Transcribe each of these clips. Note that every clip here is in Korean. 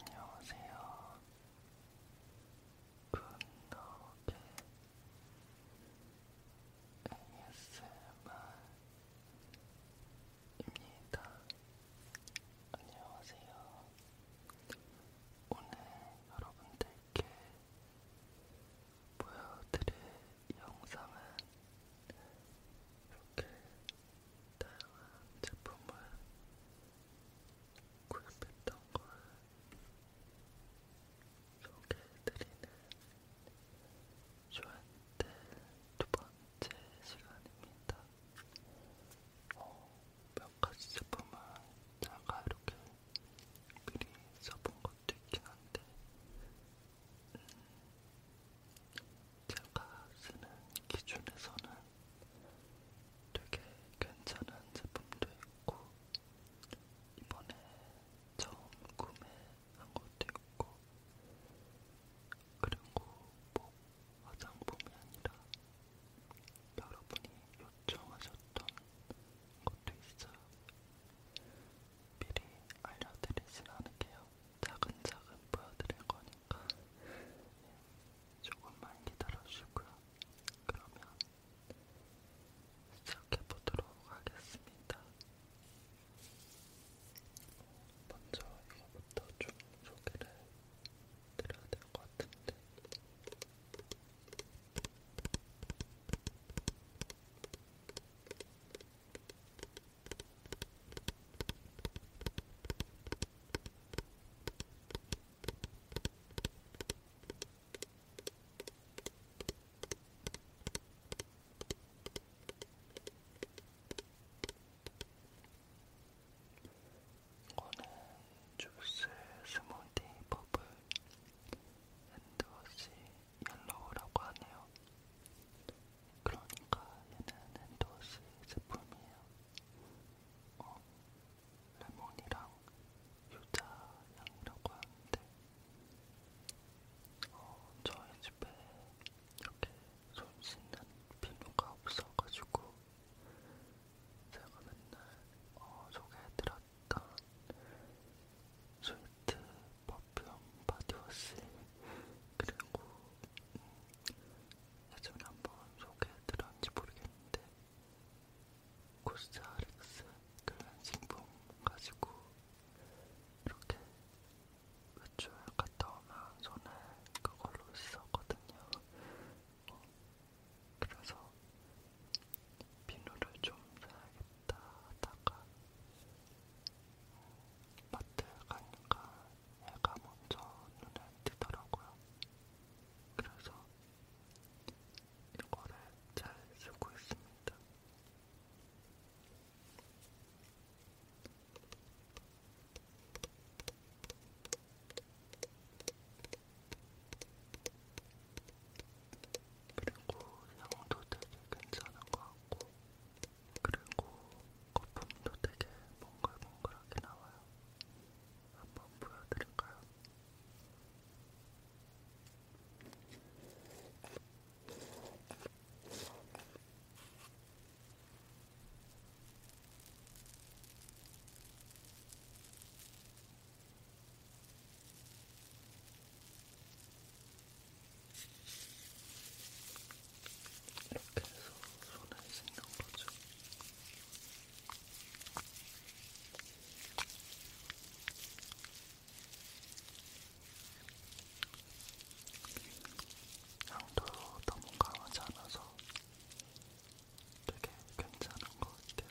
안녕하세요. 분노의 ASMR입니다. 안녕하세요. 오늘 여러분들께 보여드릴 영상은 이렇게 다양한 제품을 구입했던 걸 소개해드리는 쇼한테 두 번째 시간입니다. 어, 몇 가지 제품은 제가 이렇게 미리 써본 것 것도 있긴 한데, 음, 제가 쓰는 기준에서는 되게 괜찮은 제품도 있고, 이번에 처음 구매한 것도 있고, 그리고 뭐 화장품이 아니라 여러분이 요청하셨던 것도 있어요. 미리 알려드리진 않을게요. 차근차근 보여드릴 거니까 예, 조금만 기다려주시고요. 그러면 시작해보도록 하겠습니다. 먼저 이거부터 좀 소개를 드려야 될 것 같은데. 이거는 주스 스무디 버블 핸드워시 옐로우라고 하네요. 그러니까 얘는 엔도스 제품이에요. 어, 레몬이랑 유자향이라고 하는데 어, 저희 집에 이렇게 손 씻는 비누가 없어가지고 제가 맨날 어, 소개해드렸던 스위트 퍼퓸 바디워시 그리고 음, 예전에 한번 소개해드렸는지 모르겠는데 코스알렉스 클렌징 폼 가지고 이렇게 외출 갔다 오면 손에 그걸로 씻었거든요. 어, 그래서 비누를 좀 사야겠다. 갔다 하다가 마트 가니까 얘가 먼저 눈에 띄더라고요. 그래서 이거를 잘 쓰고 있습니다. 그리고 향도 되게 괜찮은 것 같고 그리고 거품도 되게 몽글몽글하게 나와요. 한번 보여드릴까요? 이렇게 해서 손에 생긴 거죠. 향도 너무 강하지 않아서 되게 괜찮은 것 같아요.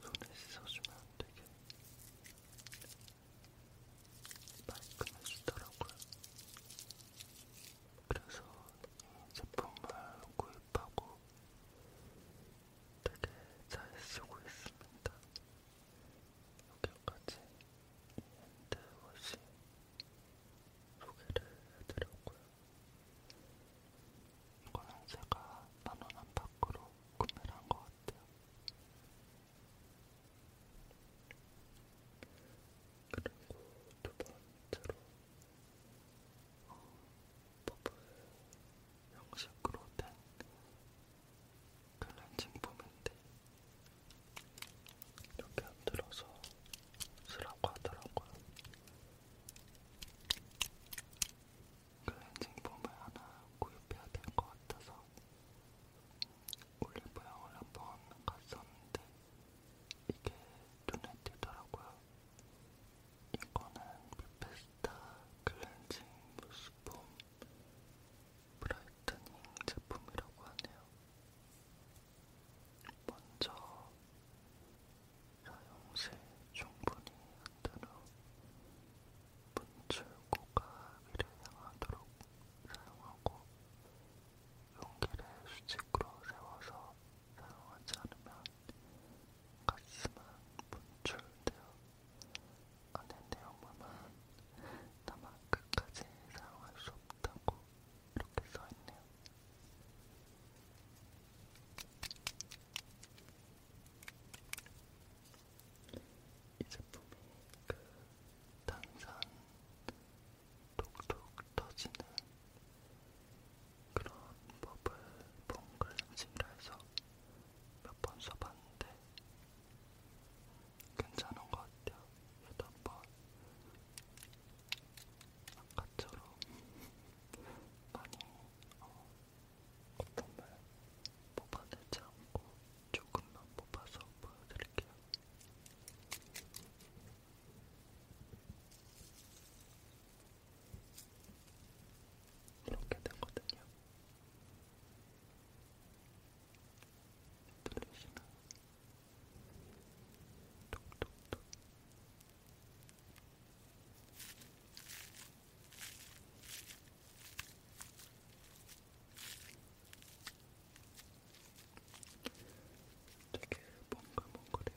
손에 씻어주면 되게 말끔해지더라고요. 그래서 이 제품을 구입하고 되게 잘 쓰고 있습니다. 여기까지 핸드워시 소개를 해드렸고요. 이거는 제가 만원 안팎으로 구매를 한 것 같아요. 그리고 두 번째로 어, 버블 형식으로 된 클렌징 폼인데 이렇게 흔들어서 쓰라고 하더라고요. 클렌징 그 폼을 하나 구입해야 될 것 같아서 올리브영을 한번 갔었는데 이게 눈에 띄더라고요. 이거는 베페스타 클렌징 무스폼 브라이트닝 제품이라고 하네요. 먼저 사용세 충분히 한단 후 분출구가 위를 향하도록 사용하고 용기를 수직으로 세워서 사용하지 않으면 가스만 분출되어 안에 내용물만 남아 끝까지 사용할 수 없다고 이렇게 써있네요. 이 제품이 그 탄산 톡톡 터지는 그런 법을 본글렌징이라 해서 몇 번 써봤는데 괜찮은 것 같아요. 여덟 번 아까처럼 많이 어, 콧범을 뽑아내지 않고 조금만 뽑아서 보여드릴게요. 이렇게 되거든요. 들리시나요? 톡톡톡 되게 몽글몽글해요.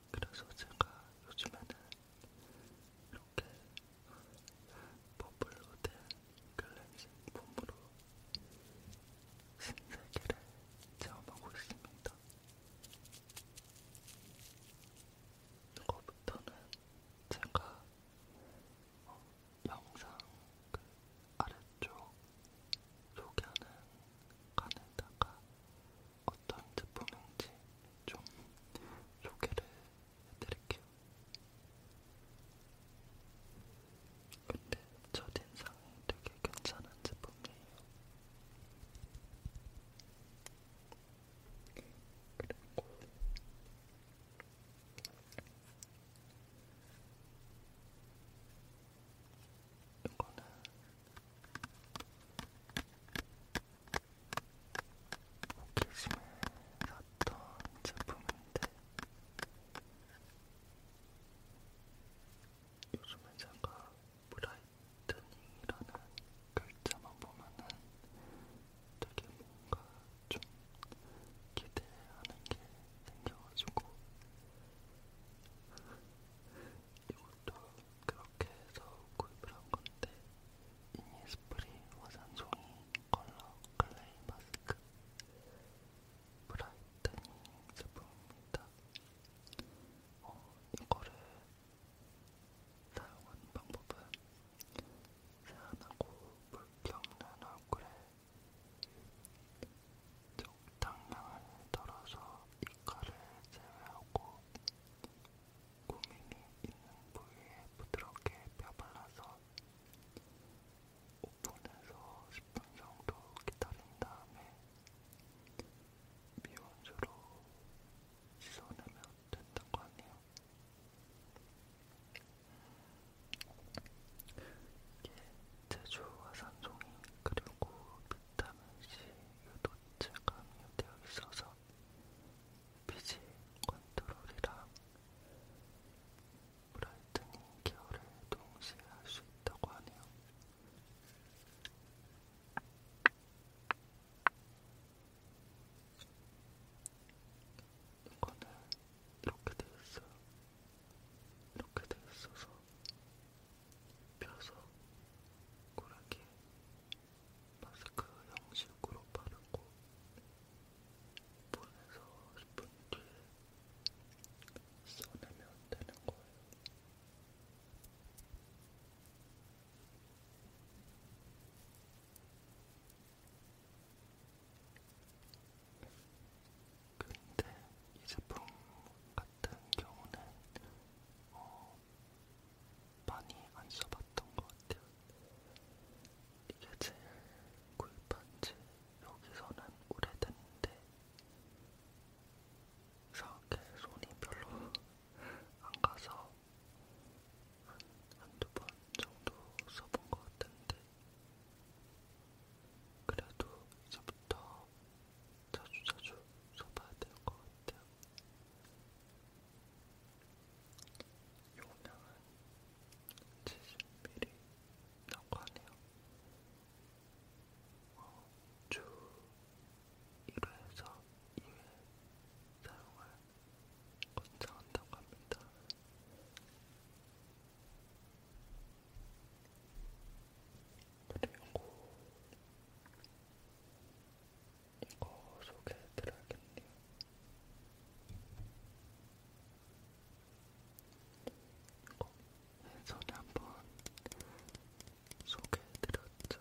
그래서 제가 요즘에는 이렇게 버블로 된 클렌징 폼으로 신세계를 체험하고 있습니다. 이거부터는 제가 어, 영상 그 아래쪽 소개하는 칸에다가 어떤 제품인지 좀 소개를 해드릴게요. 근데 첫인상이 되게 괜찮은 제품이에요. 그리고 이거는 호기심을 샀던 제품인데 요즘에 제가 브라이트닝이라는 글자만 보면은 되게 뭔가 좀 기대하는 게 생겨가지고 이것도 그렇게 해서 구입을 한 건데 이니스프리 화산종이 컬러 클레이 마스크 브라이트닝 제품입니다. 어, 이거를 사용하는 방법은 세안하고 물기 없는 얼굴에 적당량을 덜어서 입가를 제외하고 구멍이 있는 부위에 부드럽게 펴발라서 5분에서 10분 정도 기다린 다음에 미온수로 씻어내면 된다고 하네요. 이게 제조와 산송이 그리고 비타민C 유도체가 함유되어 있어서 피지 컨트롤이랑 브라이트닝 케어를 동시에 할 수 있다고 하네요. 이거는 이렇게 돼 있어요. 이렇게 돼 있어서 펴서 고르게 마스크 형식으로 바르고 보내서 10분 뒤에 써내면 되는 거예요. 근데 이 제품 같은 경우는 어, 많이 안 써봤던 것 같아요. 이게 제일 구입한 지 여기서는 오래됐는데 이렇게 손이 별로 안 가서 한, 한두 번 정도 써본 것 같은데 그래도 이제부터 자주 자주 써봐야 될 것 같아요. 용량은 70ml 라고 하네요. 어, 주 1회에서 2회 사용을 권장한다고 합니다. 그리고 이거 소개해드려야겠네요. 이거 예전에 한번 소개해드렸죠.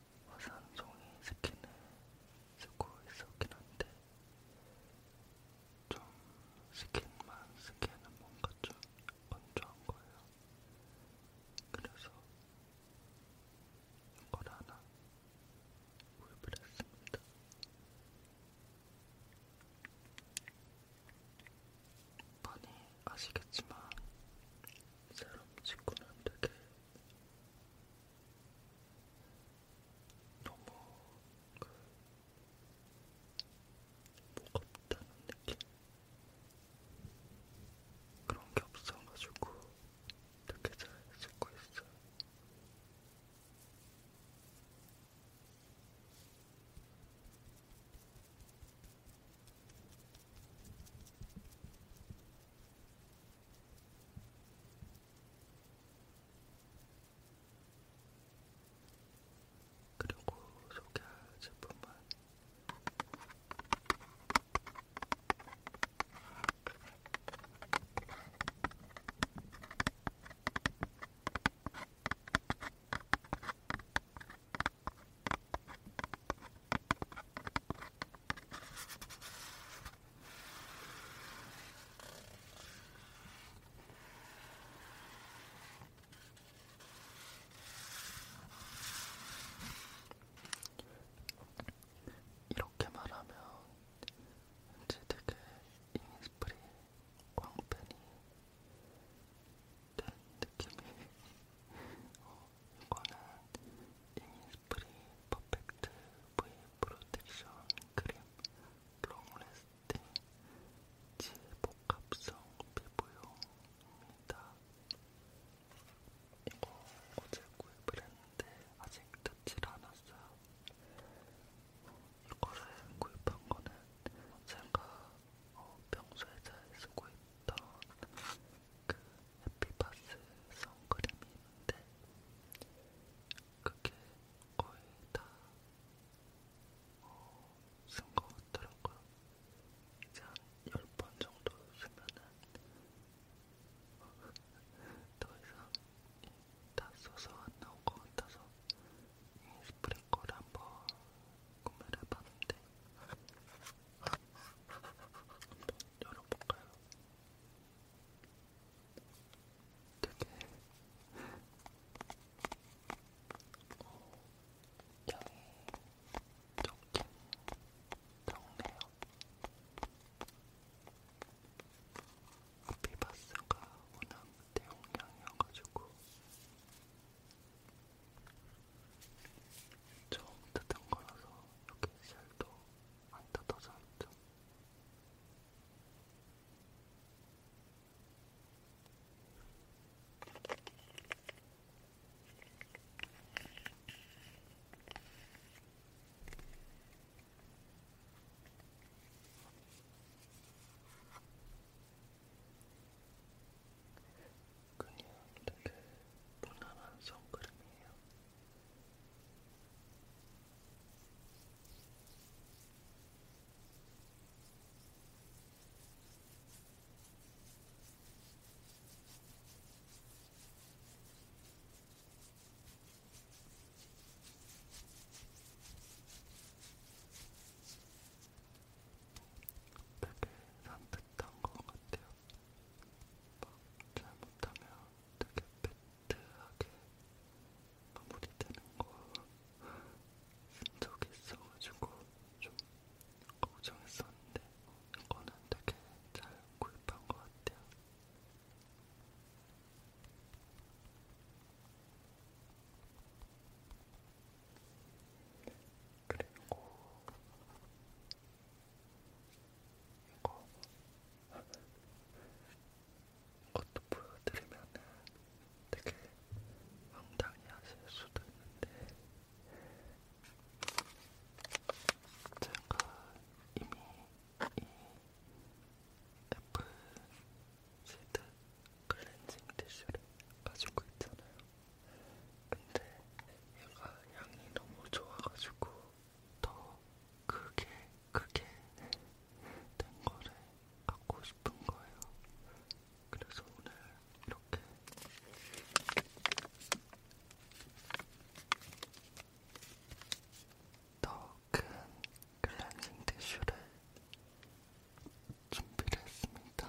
화산송이 스킨을 쓰고 있었긴 한데 좀 스킨만 쓰기에는 뭔가 좀 건조한 거예요. 그래서 이걸 하나 구입을 했습니다. 많이 아시겠지만 세럼 직구는 되게 너무 그 무겁다는 느낌? 그런 게 없어가지고 되게 잘 쓰고 있어요. 그리고 소개할 제품은 이렇게 말하면 이제 되게 이니스프리 광팬이 된 느낌이 어, 이거는 이니스프리 퍼펙트 V 프로텍션 크림 롱레스팅 지복합성 피부용입니다. 이거 어제 구입을 했는데 아직 뜯질 않았어요. 이거를 구입한 거는 제가 어, 평소에 잘 쓰고 있던 그 해피바스 선크림이 있는데 그게 거의 다 쓴것 어, 같더라고요. 이제 한1번 정도 쓰면은 더 이상 다 써서 안 나올 것 같아서 이 스프링거를 한번 구매를 해봤는데 한번 열어볼까요? 되게 어, 양이 적긴 적네요. 비바스가 워낙 대용량이어가지고 처음 뜯은 거라서 이렇게 셀도 안 뜯어져 있죠. 그냥 되게 무난한 선크림이에요. 되게 산뜻한 것 같아요. 막 잘못하면 되게 배트하게 마무리되는 거쓴 적이 있어가지고 좀 걱정했었는데 이거는 되게 잘 구입한 것 같아요. 그리고 이거 이것도 보여드리면은 되게 황당해하실 수도 있는데 제가 이미 이 애플 시드 클렌징 티슈를 가지고 있잖아요. 근데 얘가 향이 너무 좋아가지고 더 크게 크게 된 거를 갖고 싶은 거예요. 그래서 오늘 이렇게 더 큰 클렌징 티슈를 준비를 했습니다.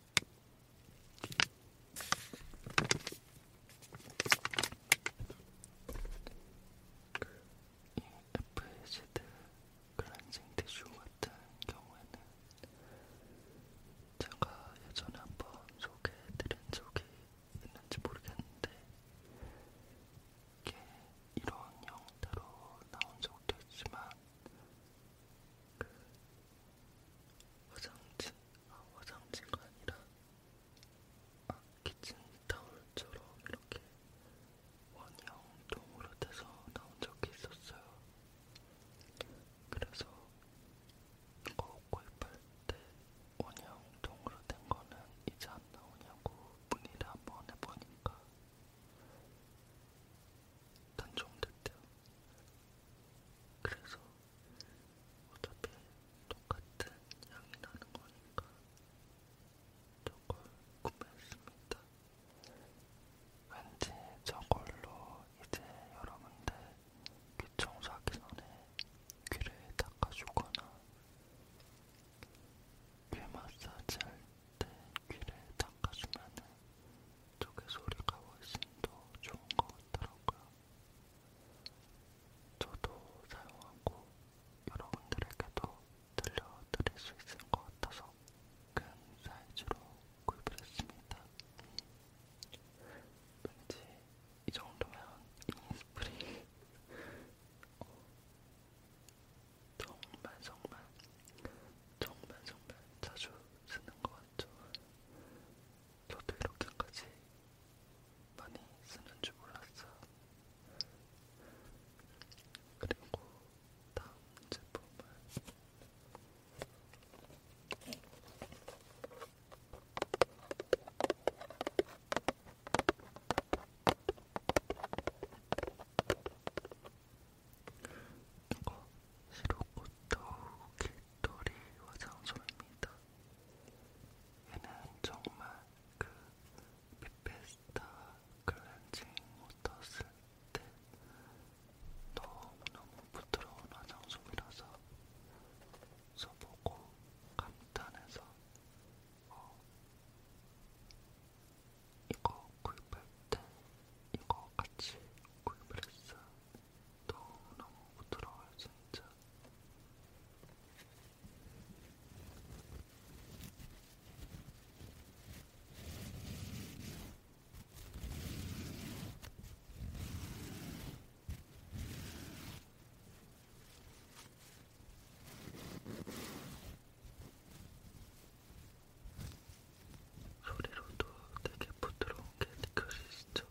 이 FSD 클렌징 티슈 같은 경우에는 제가 예전에 한번 소개해드린 적이 있는지 모르겠는데 이게 이런 형태로 나온 적도 있지만 그 화장진, 아, 화장진가 아니라, 아, 키친타올처럼 이렇게 원형동으로 돼서 나온 적이 있었어요. 그래서 이거 구입할 때 원형동으로 된 거는 이제 안 나오냐고 문의를 한번 해보니까 단종됐대요. 그래서 어차피 똑같은 향이 나는 거니까 저걸 구매했습니다. 왠지 저걸로 이제 여러분들 귀 청소하기 전에 귀를 닦아주거나 귀 마사지 할때 귀를 닦아주면 쪽의 소리가 훨씬 더 좋은 것 같더라고요. 저도 사용하고 여러분들에게도 들려드릴 수 있을 것 같아서 큰 사이즈로 구입을 했습니다. 왠지 이 정도면 이니스프리 어, 정말 정말 정말 정말 자주 쓰는 것 같죠. 저도 이렇게까지 많이 쓰는 줄 몰랐어요. 그리고 다음 제품은 이거 시로코토 길토리 화장솜입니다. 얘는 정말 그 빅베스타 클렌징 워터 쓸때 너무너무 부드러운 화장솜이라서 써보고 감탄해서 어, 이거 구입할 때 이거 같이 구입을 했어요. 너무너무 부드러워요, 진짜. 소리로도 되게 부드러운게 느껴지시죠?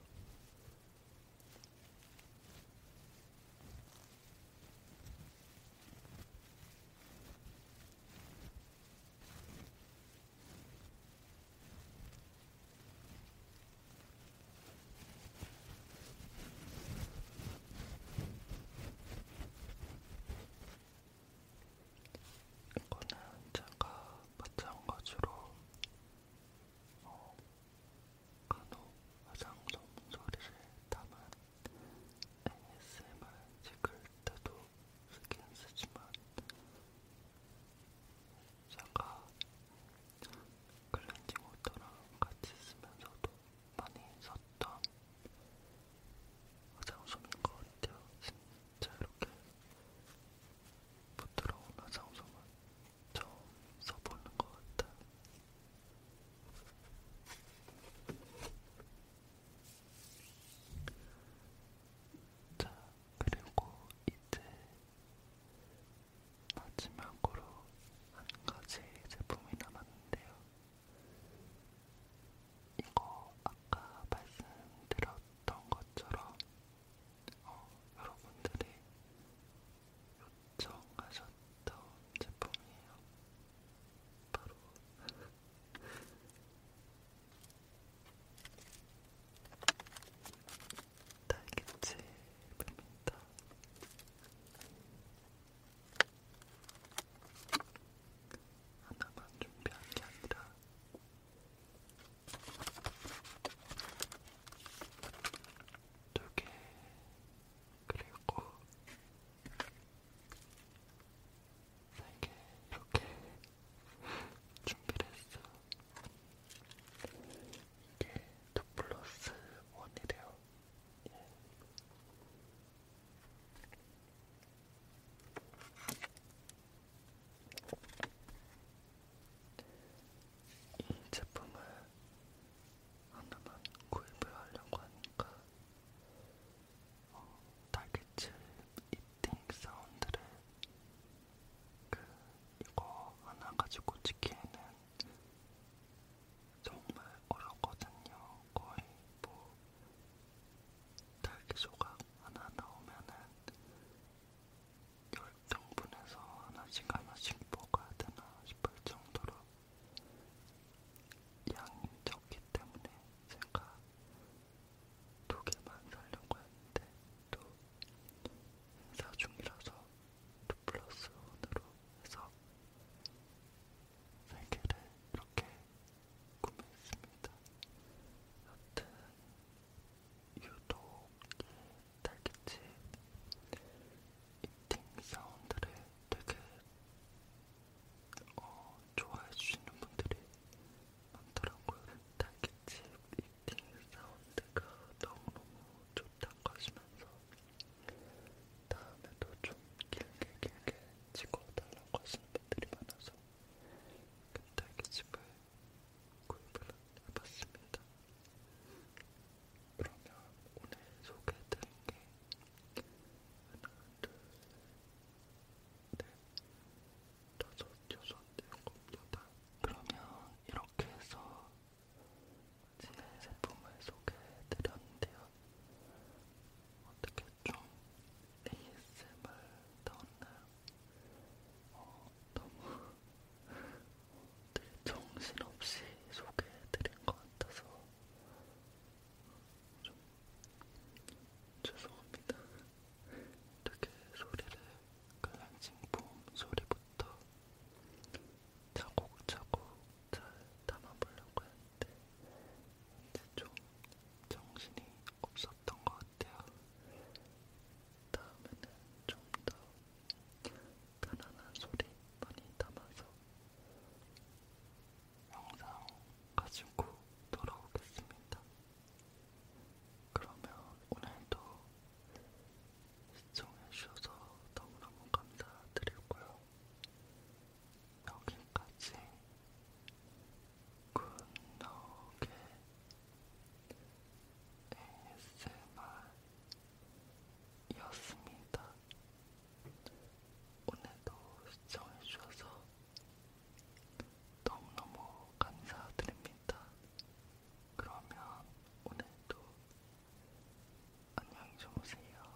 이거는 제가 마찬가지로 어, 간혹 화장솜 소리를 담은 ASMR 찍을 때도 쓰긴 쓰지만 제가 클렌징 워터랑 같이 쓰면서도 많이 썼던 화장솜인 것 같아요. 자, 이렇게 부드러운 화장솜은 처음 써보는 것 같아. 자, 그리고 이제 마지막으로 한 가지 제품이 남았는데요. 이거 아까 말씀드렸던 것처럼 어, 여러분들이 요청하셨던 제품이에요. 바로 딸기칩입니다. 하나만 준비한 게 아니라 두개 그리고 세개 이렇게 준비를 했어. 이게 2 플러스 1이래요. 예. 이 제품을 하나만 구입을 하려고 하니까 어, 딸기칩 이팅 사운드를 그 이거 하나 가지고 찍기에는 정말 어렵거든요. 거의 뭐 딸기 조각 하나 넣으면은 열등분해서 하나씩 하나씩 먹어야 되나 싶을 정도로 양이 적기 때문에 제가 두 개만 사려고 했는데 또 행사 중이라서 2 플러스 1으로 해서 세 개를 이렇게 구매했습니다. 여튼 유독 이 딸기집 이팅 사운드를 되게 어, 좋아해주시는 분들이 많더라고요. 딸기집 이팅 사운드가 너무너무 좋다고 하시면서 다음에도 좀 길게 길게 찍어달라고 하시는 분들이 많아서 딸기집을 구입을 해봤습니다. 그러면 오늘 소개해드린 게 하나, 둘, 넷, 다섯, 여섯, 일곱, 여덟. 그러면 이렇게 해서 제 제품을 소개해드렸는데요. 어떻게 좀 ASMR 나왔나요? 어, 너무 되게 정신없이 소개해드린 것 같아서 좀 죄송합니다. 되게 소리를 클렌징폼 그 소리부터 차곡차곡 잘 담아보려고 했는데 이제 좀 정신이 없었던 것 같아요. 다음에는 좀 더 편안한 소리 많이 담아서 영상 가지고 돌아오겠습니다. 그러면 오늘도 시청해주셔서 너무너무 감사드리고요. 여기까지 굿나오게 ASMR이었습니다. 오늘도 시청해주셔서 너무너무 감사드립니다. 그러면 오늘도 안녕히 주무세요.